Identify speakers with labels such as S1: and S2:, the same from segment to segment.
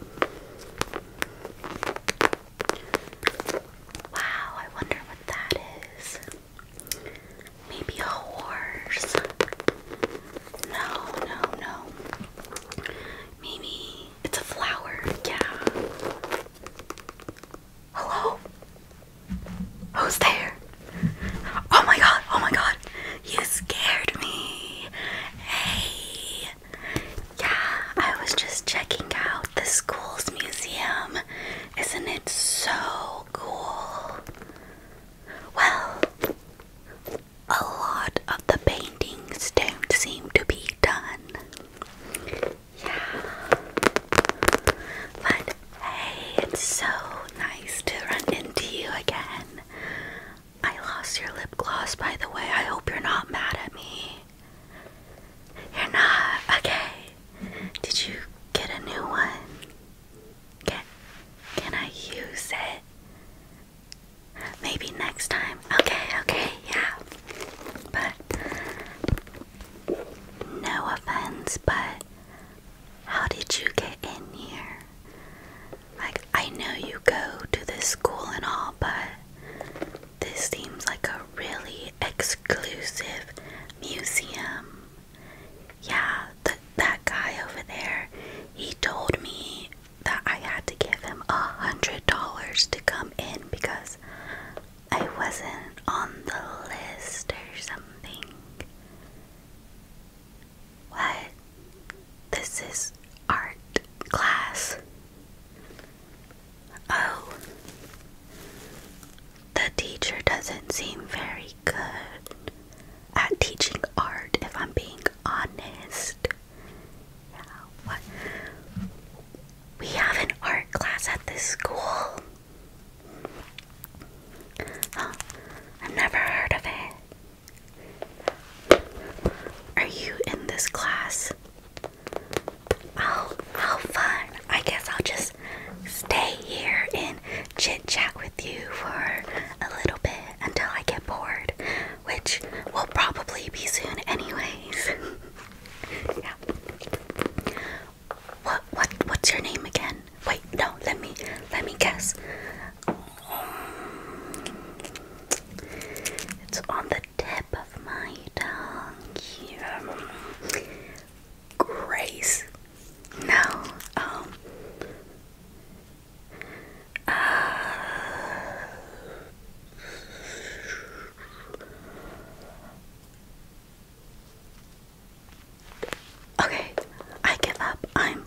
S1: Wow, I wonder what that is. Maybe a horse. No, no, no. Maybe it's a flower. Yeah. Hello? Who's there? Oh my god, oh my god. You scared me. Hey. Yeah, I was just checking out the school's museum. Isn't it so cool? Well, a lot of the paintings don't seem to be done. Yeah. But hey, it's so nice to run into you again. I lost your lip gloss, by the way. I hope you're not mad at me. You're not. Okay. Did you get a new one? Can, can I use it? Maybe next time. Okay, okay, yeah. But no offense, but how did you get in here? Like, I know you go to this school and all, but this seems like a really exclusive museum. Yeah, th that guy over there, he told me that I had to give him a hundred dollars to come in because I wasn't on the list or something. What? This is art class. Oh, the teacher doesn't seem very good at teaching art, if I'm being honest. We have an art class at this school. Oh, I've never heard of it. Are you in this class? Oh, how fun. I guess I'll just stay here and chit chat with you for a little bit until I get bored, which will probably be soon, anyways. yeah. What what what's your name again? Wait, no, let me let me guess. It's on the tip of my tongue Grace. No. Um. Uh, okay, I give up. I'm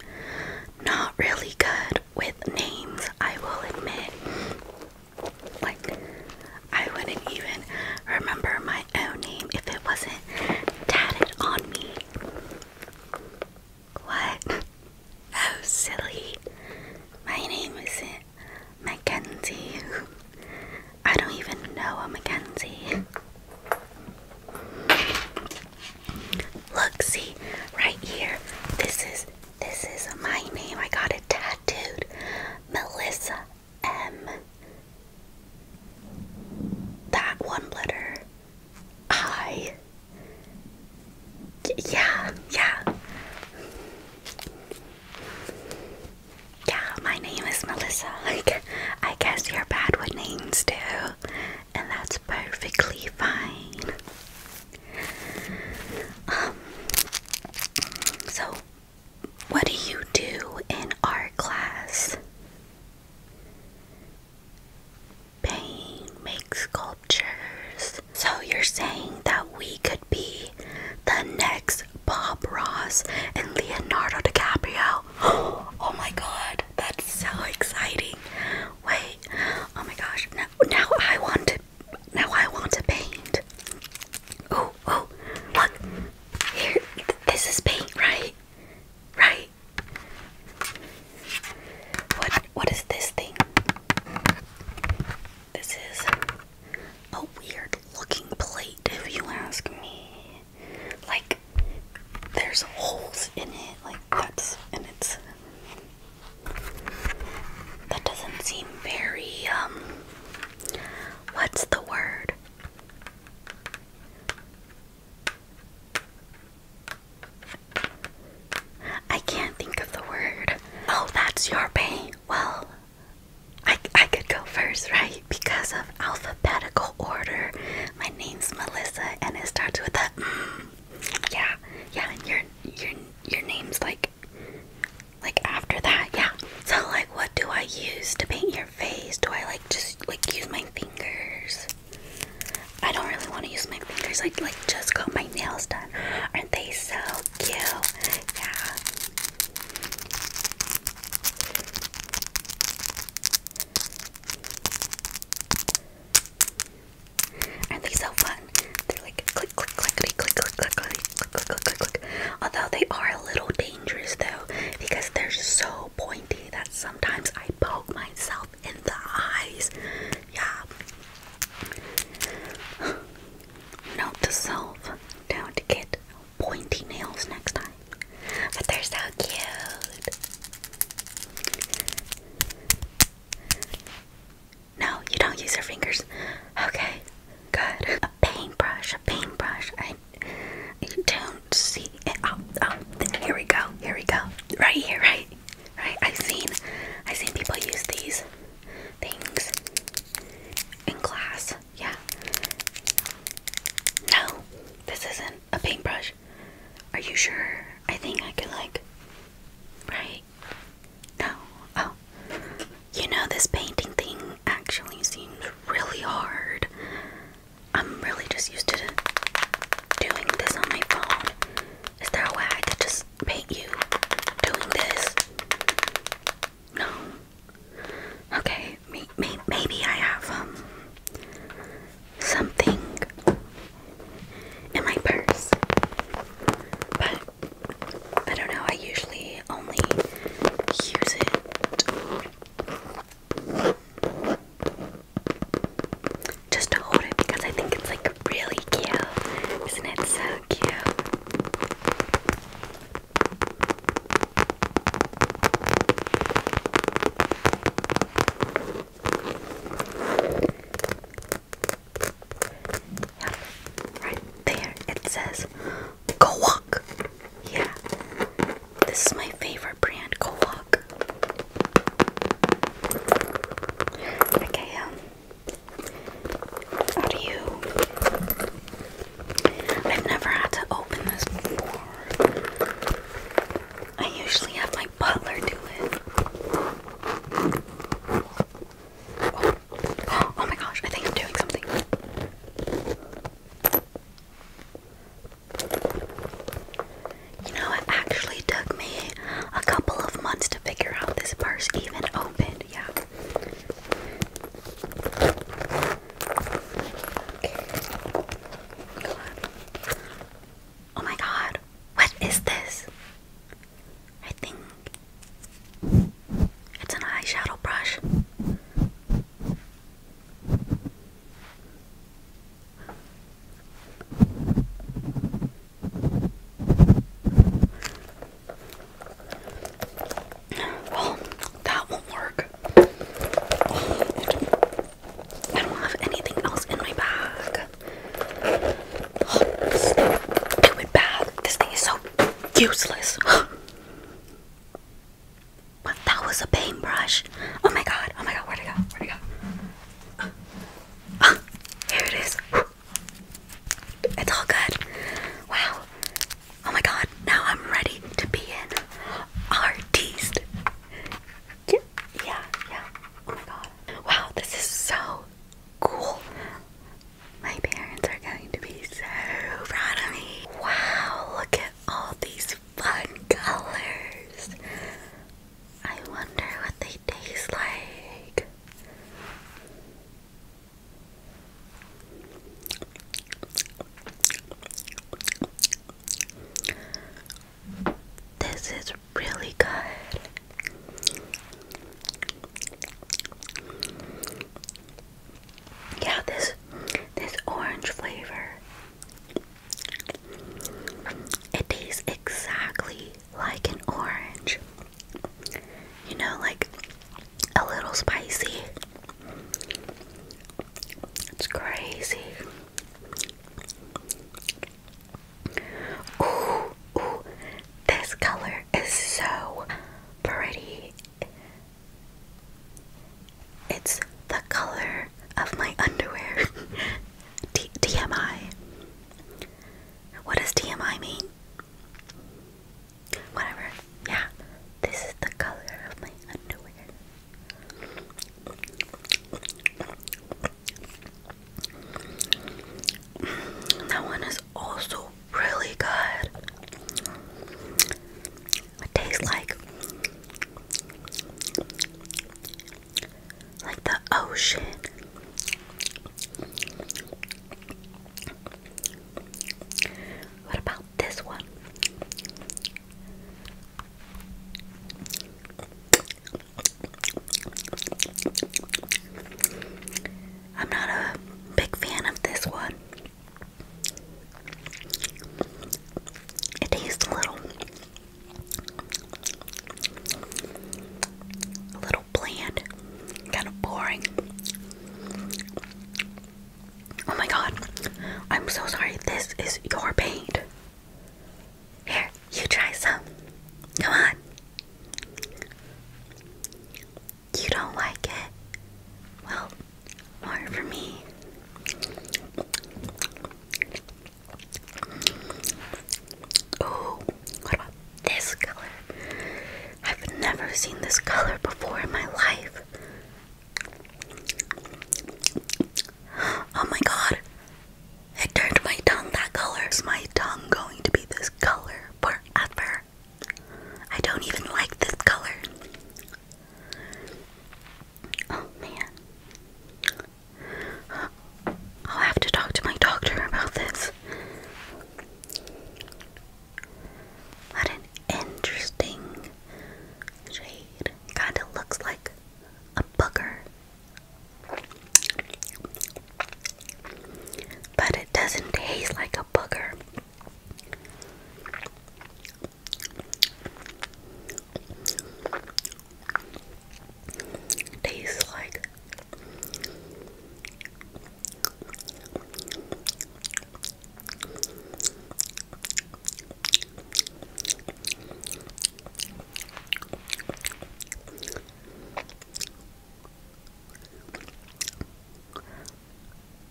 S1: not really good with names, I will admit. Like, I wouldn't even remember my own name if it wasn't tatted on me. What? How oh, silly. My name isn't Mackenzie. I don't even know a Mackenzie. Look, see, right here. This is this is my name. I got it tattooed. Melissa M. That one letter. I. Yeah, yeah. Yeah, my name is Melissa. Like, I guess you're bad with names too. And that's perfectly fine. Um, so, what do you do in art class? Paint, make sculptures. So, you're saying that we could be the next Bob Ross and Leonardo DiCaprio? Oh my god, that's so exciting! Wait, oh my gosh, now I want to now I want to paint. Oh, oh, look. Here, this is paint, right? Right. What what is this thing? This is a weird looking plate if you ask me. Like there's holes in it like that's and it's that doesn't seem very, um, what's the word? I can't think of the word. Oh, that's your pain. Well, I, I could go first, right? Because of alphabetical order. My name's Melissa and it starts with a mm. Yeah, yeah, and you're your name's like like after that, yeah. So like what do I use to paint your face? Do I like just like use my fingers? I don't really want to use my fingers. I like just got my nails done. Aren't they so cute? Yeah. Aren't they so fun? They're like click, click, click, click, click, click, click, click, click, click, click, Although they are a little dangerous though, because they're so pointy that sometimes I poke myself in the eyes. Yeah. Note to self: don't get pointy nails next time. But they're so cute. No, you don't use your fingers. Okay, good. A paintbrush, a paintbrush. I, I don't see it. Oh, oh here we go, here we go. Right here, right, right. I've seen, I've seen people use these things in class. Yeah. No, this isn't a paintbrush. Are you sure? I think I could like, right? No. Oh. You know, this painting thing actually seems really hard. I'm really just used to doing this on my phone. Is there a way I could just paint you doing this? No. Okay, maybe I have um something in my purse, but I don't know, I usually only use it just to hold it because I think it's like really cute. Isn't it so cute? Yeah, right there it says Go Walk. Yeah, this is my favorite brand, Go Walk. Okay, um, how do you? I've never had to open this before. I usually have my butler do it. Oh. my gosh, I think I'm doing something. You know, it actually took me a couple of months to figure out this purse even opened. Yeah. Oh my god. What is this? I think it's an eyeshadow brush. Well, that won't work. I don't have anything else in my bag. Stupid bag. This thing is so useless. But that was a paintbrush. Oh my god. Oh my god. Where'd it go? Where'd it go? Uh, here it is. It's all good. Wow. Oh my god. Now I'm ready to be in artiste. Yeah. Yeah. yeah. Oh my god. Wow. This is so cool. My parents are going to be so proud of me. Wow, look at all these fun colors. I wonder what they taste like. This is really good. Yeah, this this orange flavor. It tastes exactly like an orange. You know, like a little spicy. It's crazy. This color is so pretty. It's the color of my underwear. T What does TMI mean? Whatever. Yeah. This is the color of my underwear. That one is also really good. It tastes like like the ocean. What about this one? I'm not a big fan of this one. It tastes a little a little bland, kind of boring. Oh my god. I'm so sorry. This is your paint. Here, you try some. Come on. You don't like it? Well, more for me. Oh, what about this color? I've never seen this color before in my life. Oh my god, it turned my tongue that color. Is my tongue going to be this color forever? I don't even like this color. Oh man. I'll have to talk to my doctor about this. What an interesting shade. Kinda looks like a booger. But it doesn't taste like a booger. tastes like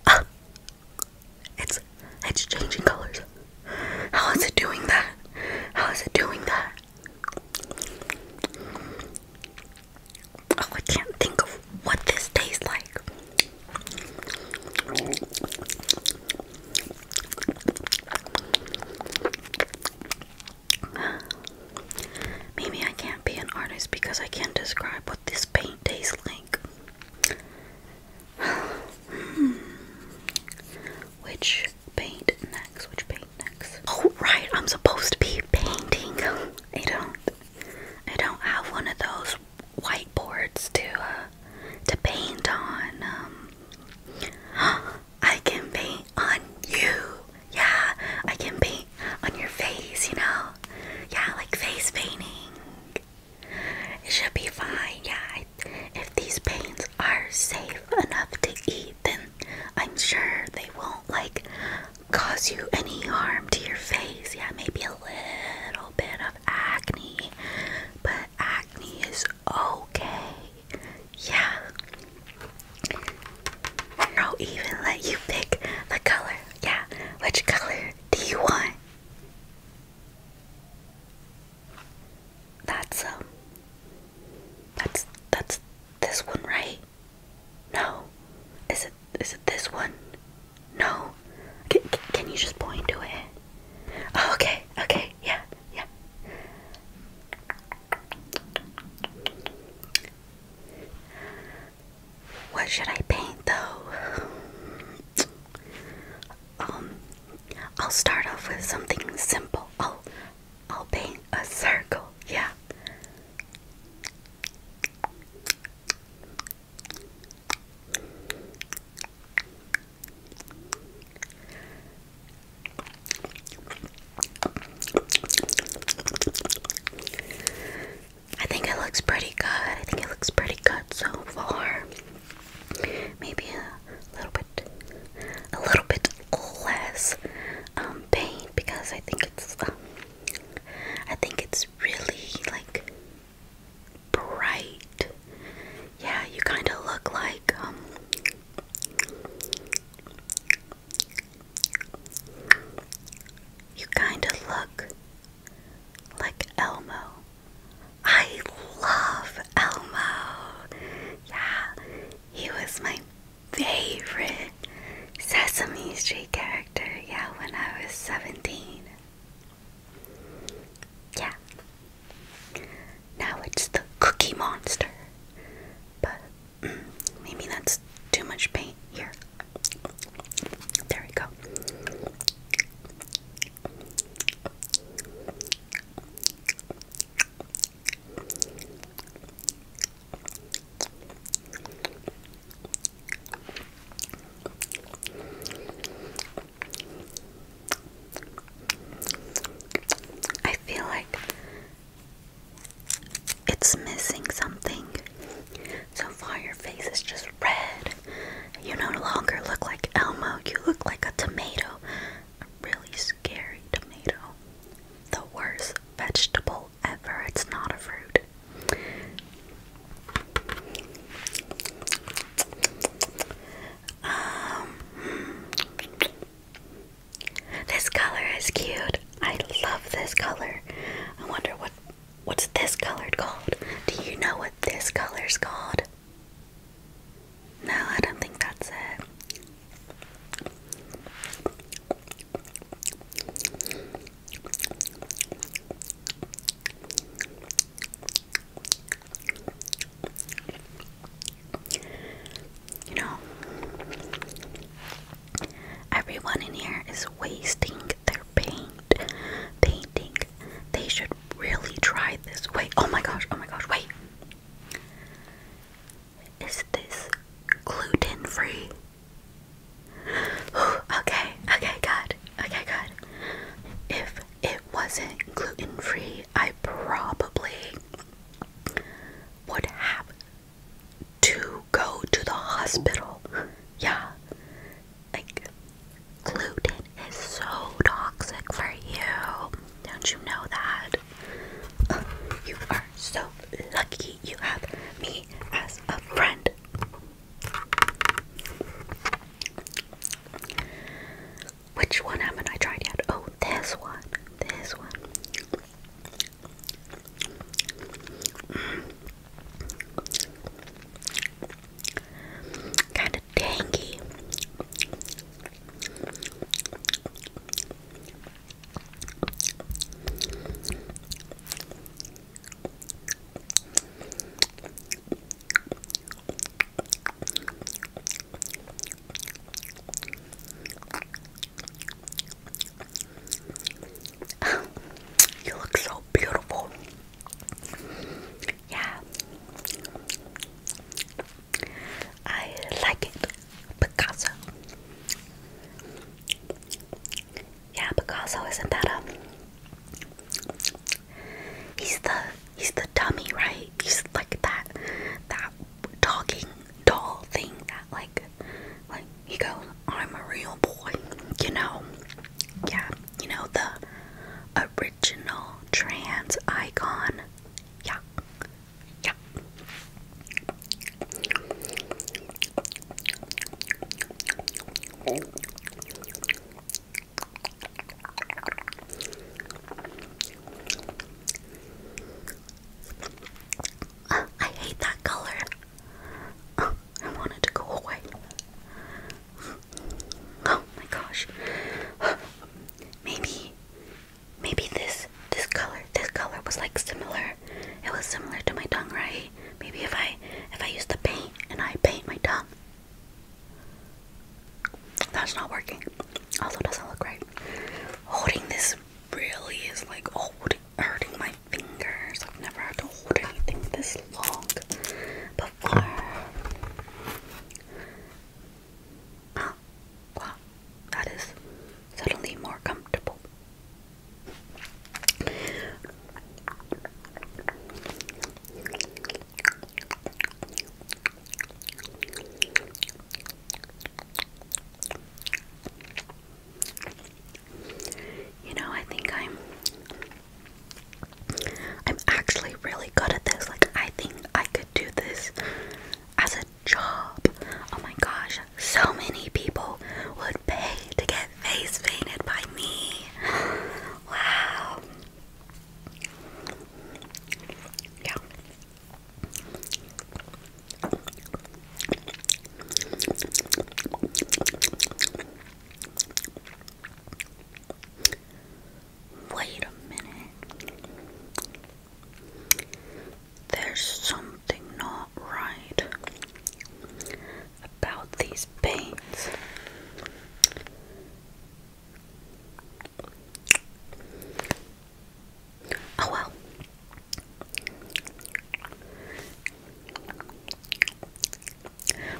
S1: Ah, it's it's changing colors. How is it doing that? How is it doing that? Oh, I can't think of what this tastes like. Maybe I can't be an artist because I can't describe what this paint tastes like. Which paint next? Which paint next? Oh, right, I'm supposed to be painting. I don't. I don't have one of those whiteboards to uh, to paint on. Um, I can paint on you. Yeah, I can paint on your face, you know? Yeah, like face painting. It should be fine. Yeah, if these paints are safe enough to eat, then I'm sure they won't like cause you any harm to your face. Yeah, maybe a little bit of acne, but acne is okay. Yeah. I'll even let you pick the color. Yeah, which color do you want? That's um that's that's this one, right? No. Is it is it this one? No. can you just point to it? Oh, okay. Okay. Yeah. Yeah. What should I paint though? Um, I'll start off with something simple. Oh, I'll paint a circle. Yeah. I think it looks pretty good. I think it looks pretty good so far. Maybe a little bit, a little bit less um, paint because I think it's, um, I think it's really like bright. Yeah, you kind of look like um, you kind of look like Elmo. I love Elmo. Yeah, he was my favorite Sesame Street character. Yeah, when I was 17. Yeah. Now it's the Cookie Monster. But Maybe that's too much paint here. There we go. I feel like it's missing something. So far, your face is just red. You no longer look like Elmo, you look like a tomato. A really scary tomato. The worst vegetable ever. It's not a fruit. Um, hmm. this color is cute. I love this color. I wonder what what's this color called? Do you know what this color's called? No, I don't think that's it. You know, Everyone in here is wasting their paint painting. They should really try this. Wait, oh my gosh, oh my gosh, wait. Is this gluten free? okay, okay, good. Okay, good. If it wasn't gluten free, I probably would have to go to the hospital. Yeah. Like, gluten is so toxic for you. Don't you know that? you are so lucky you have me as a friend. Which one haven't I tried yet? Oh, this one. This one. Kind of tangy. You look so beautiful. Yeah. I like it. Picasso. Yeah, Picasso isn't that um He's the he's the dummy, right? He's like that that talking doll thing that like like he goes, I'm a real boy, you know. Yeah, you know, the original trans icon. Yeah, yeah. Uh, I hate that color. I wanted to go away. Oh my gosh. Maybe maybe this this color this color was like similar. It was similar to my tongue, right? Maybe if I if I use the paint and I paint my tongue. That's not working. Also doesn't look right. Holding this really is like oh hurting my fingers. I've never had to hold anything this long before. Oh, wow, that is suddenly more comfortable. You know, I think I'm I'm actually really good at this. Like I think I could do this as a job. Oh my gosh, so many people would pay to get face painted by me. Wow. Wait a minute. There's something not right about these pains. Oh well.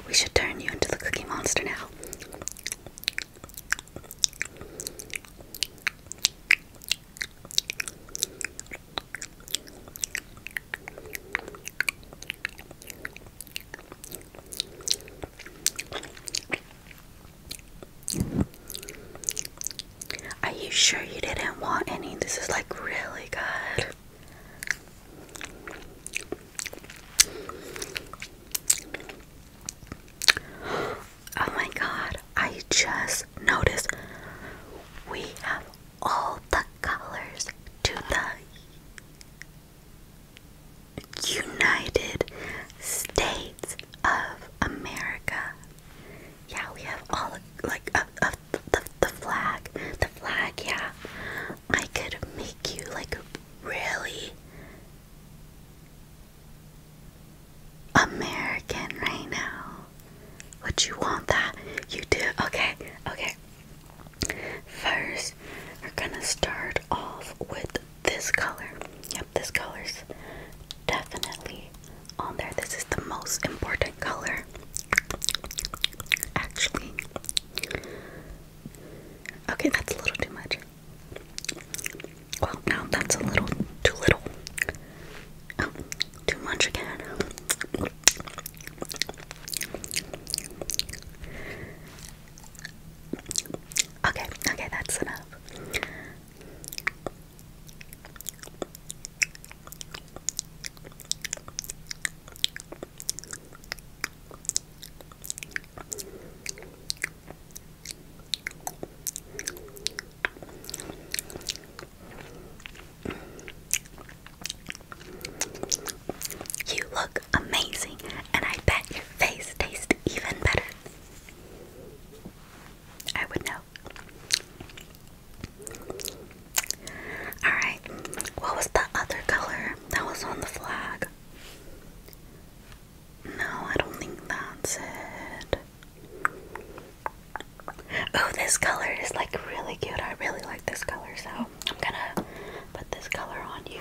S1: We should turn you into the Cookie Monster now. Are you sure you didn't want any? This is like really good. Oh my god, I just noticed we have all the colors to the United States of America. Yeah, we have all like a, the, the flag, the flag, yeah. I could make you like really American right now. Would you want that? You do. Okay. Okay. First, we're gonna start off with this color. Yep, this color's definitely on there. This is the most important color. Actually, okay, that's a little too much. Well, now that's a little too little. Um, too much again. Okay, okay, that's enough. You look amazing, and I bet your face tastes even better. I would know. Alright, what was the other color that was on the flag? No, I don't think that's it. Oh, this color is like really cute. I really like this color, so I'm gonna put this color on you.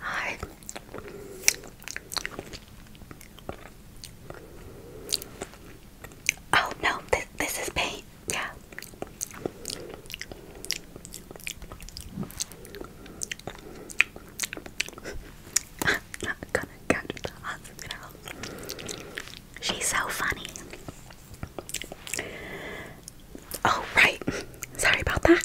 S1: Hi. Oh no, this this is paint. Yeah. not gonna get the hospital. She's so funny. Oh, right. Sorry about that.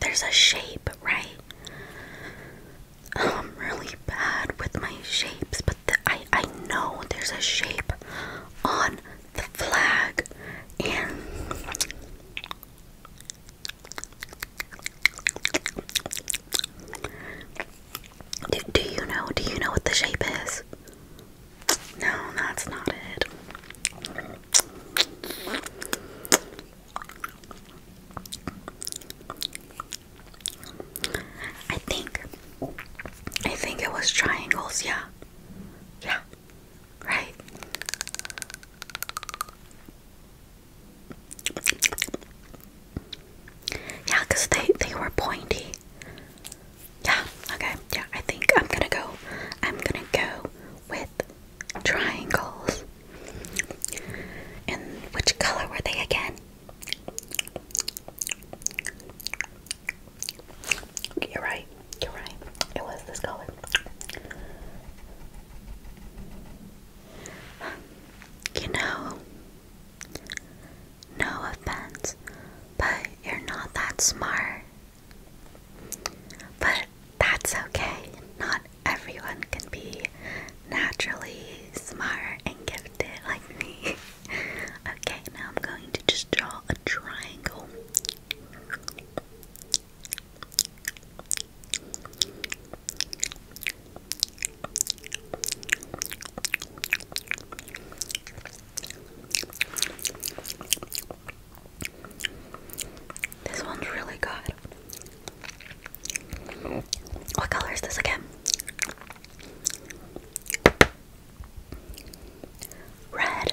S1: There's a shape, right? I'm really bad with my shapes, but I I know there's a shape on the flag, and do, do you know? Do you know what the shape is? No, that's not it. I think I think it was triangles, yeah. Yeah. Right. Yeah, because they, they were pointy. Yeah, okay, yeah, I think I'm gonna go. I'm gonna go with triangles. And which color were they again? You're right, you're right. It was this color. You know, no offense, but you're not that smart. But that's okay. Not everyone can be naturally smart and gifted like me. okay, now I'm going to just draw a triangle. This one's really good. What color is this again? Red.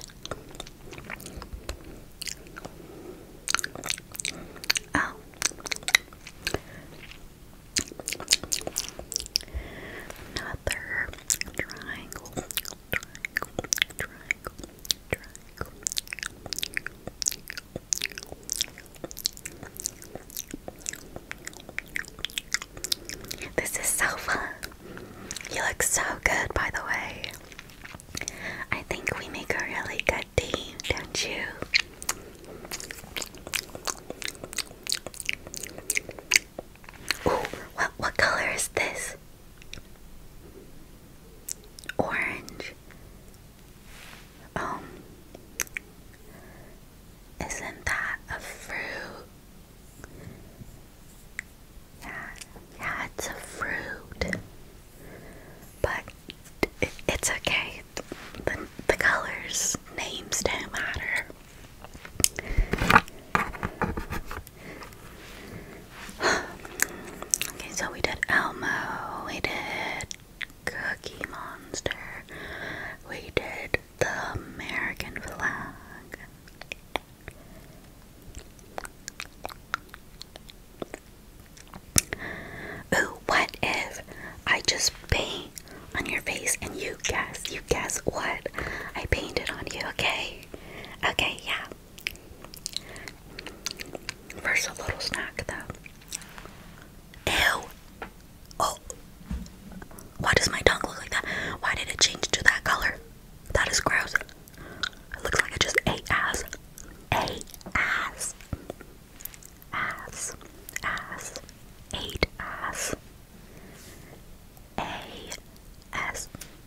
S1: Oh. Another triangle. This is so fun. You look so good, by the way. I think we make a really good team, don't you? Ooh, what what color is this? Orange. Um, isn't that a fruit? Yeah, yeah, it's a fruit. But it's okay. The, the colors, names don't matter. okay, so we did Elmo, we did Cookie Monster, we did the American flag. Ooh, what if I just paint on your face and you guess, you guess what I painted on you, okay? Okay, yeah. First, a little snack though. Ew! Oh! Why does my tongue look like that? Why did it change to that color? That is gross. It looks like I just ate ass. Ate ass. Ass. Ass. Ate ass. A. S.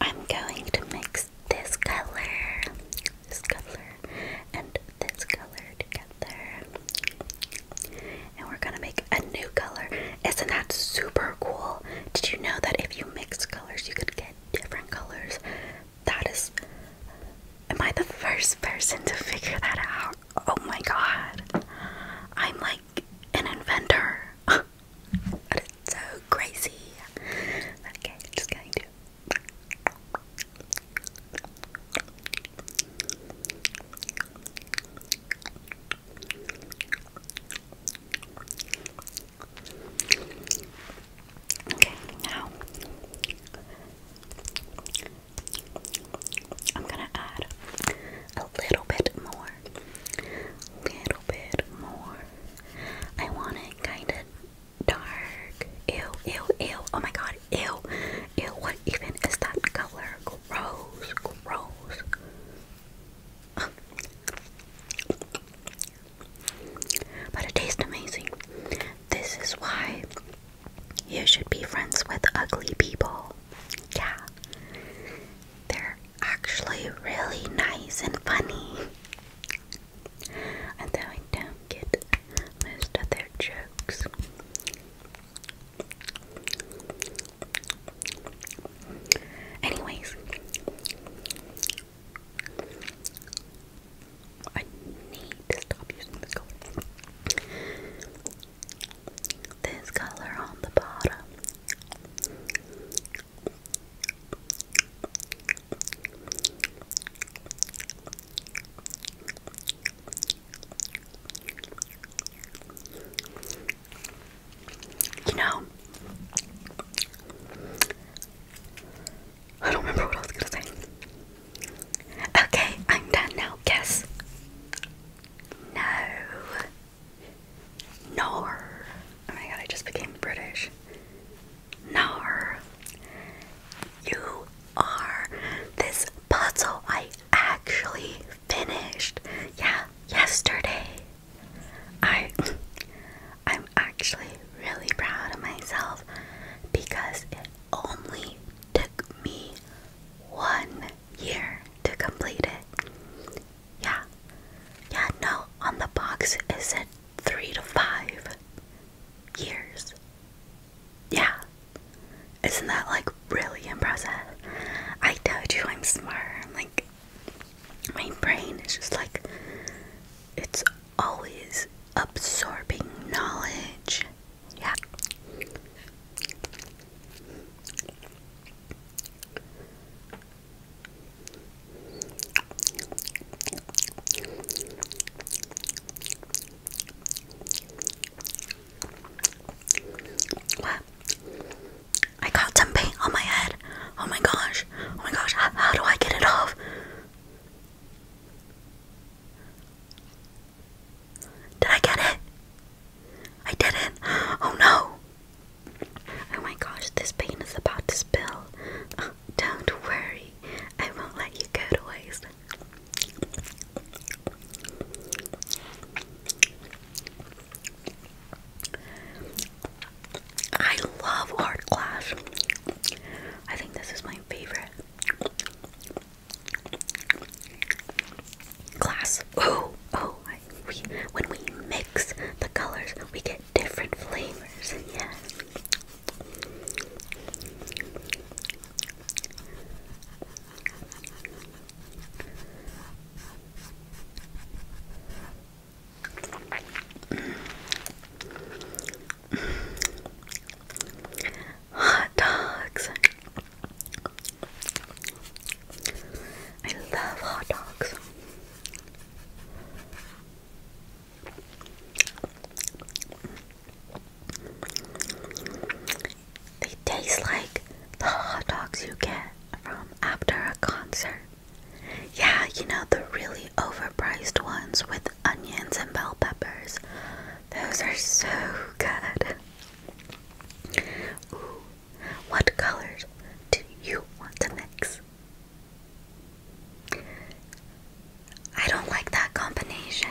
S1: I'm going to mix this color, this color, and this color together. And we're gonna make a new color. Isn't that super cool? Did you know that if you mix colors, you could get different colors that is. Am I the first person to figure that out? Oh my god. I'm like an inventor. that is so crazy. Okay, just going Okay, now I'm gonna add a little bit more. Little bit more. I want it kinda dark. Ew, ew, ew. Oh my god, ew. Ew, what even is that color? Gross, gross. But it tastes amazing. This is why you should be friends with ugly people. Yeah. They're actually really nice and funny. Although I don't get most of their jokes. Anyways, I need to stop using this color. This color on the bottom. You know, I don't remember what I was gonna say. Okay, I'm done now. Guess. No. Nor. Oh my god, I just became British. Nor. You are this puzzle I actually finished. Yeah, yesterday. I I'm actually really proud of myself because only took me one year to complete it. Yeah. Yeah, no, on the box it said three to five years. Yeah. Isn't that like really impressive? I told you I'm smart. Like, my brain is just like, it's always absorbing knowledge. Yeah. I got some paint on my head. Oh my gosh. Oh my gosh. how do I get it off? Did I get it? I didn't. Oh no. Oh my gosh, this paint is about to spill. don't worry, I won't let you go to waste. I love Art Clash. I think this is my favorite. Glass. Oh, oh! when we mix the colors, we get different flavors. Yeah. Hot dogs. I love hot dogs. They taste like the hot dogs you get from after a concert. Yeah, you know, the really overpriced ones with onions and bell peppers. Those are so good. Ooh, what colors do you want to mix? I don't like that combination.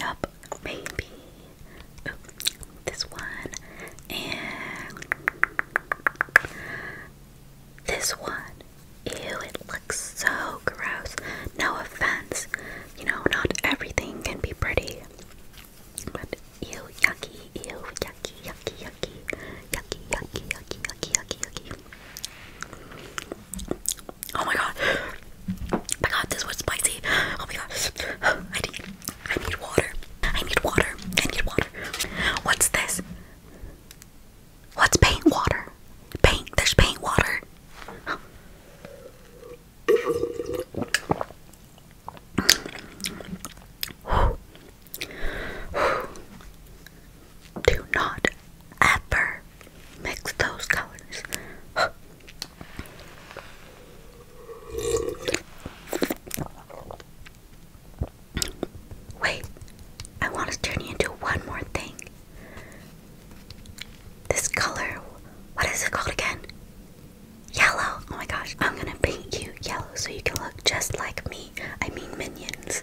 S1: Yup, baby. this one and this one. Ew, it looks so gross. No offense. You know, not everything can be pretty. But ew, yucky, ew, yucky, yucky, yucky, yucky, yucky, yucky, yucky, yucky, Oh my god! Oh my god, this was spicy. Oh my god. I need I need water. I need water. I need water. What's this? What's paint water? Paint, there's paint water. Do not ever mix those colors. Wait, I want to turn you into one more thing. This color, what is it called again? Yellow. Oh my gosh, I'm gonna paint you yellow so you can look just like me. I mean, minions.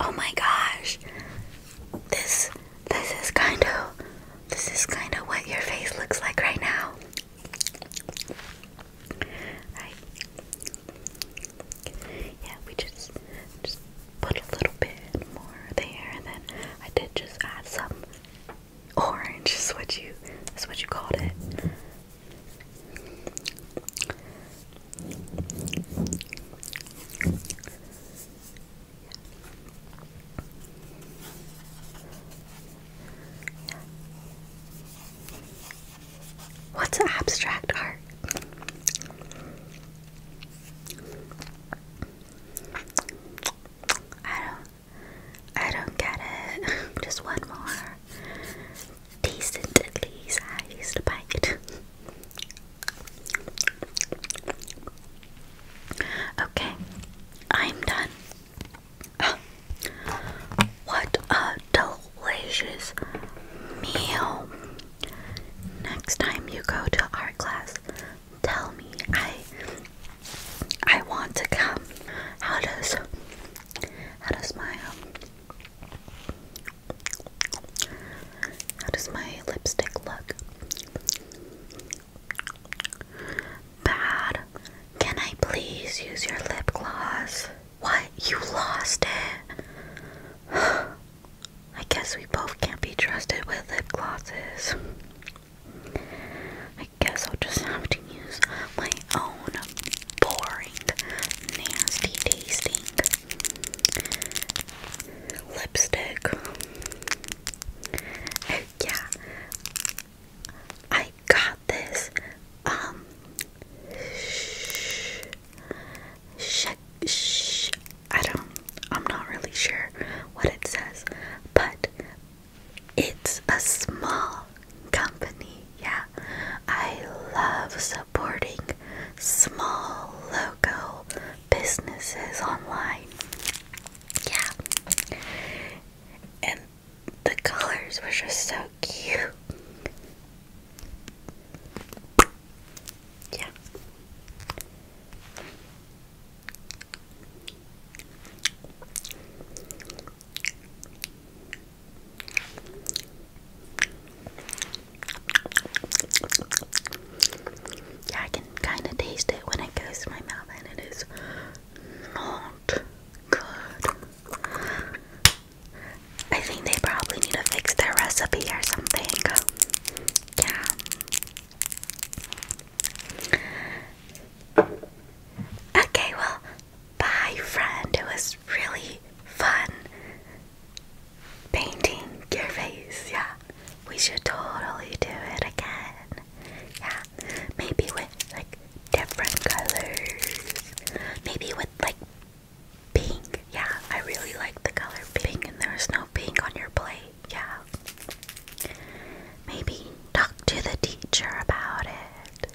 S1: Oh my gosh. This this is kind of this is kind of what your face looks like right now. Yeah, we just just put a little bit more there and then I did just add some orange what you that's what you called it. What's abstract art? I don't I don't get it. Just one more decent at least. I used to bite it. okay, I'm done. Oh, what a delicious meal! Next time you go to art class, tell me I I want to come. How does how does my um, how does my lipstick look? Bad. Can I please use your lip gloss? What? You lost it? I guess we both can't be trusted with lip glosses. I guess I'll just have to use my own boring, nasty tasting lipstick. yeah, I got this um shh, sh I don't I'm not really sure what it says, but it's a small company. Yeah, I love supporting small local businesses online. Yeah, and the colors were just so cute. Yeah. Yeah, I can kind of taste it when it goes to my mouth, and it is not good. I think they probably need to fix their recipe or something. Yeah. Okay, well, Bye, friend. It was really fun painting your face. Yeah, we should totally do it again. Yeah, maybe with like different colors. Maybe with like pink. Yeah, I really like the color pink, and there's no pink on your plate. Yeah. Maybe talk to the teacher about it.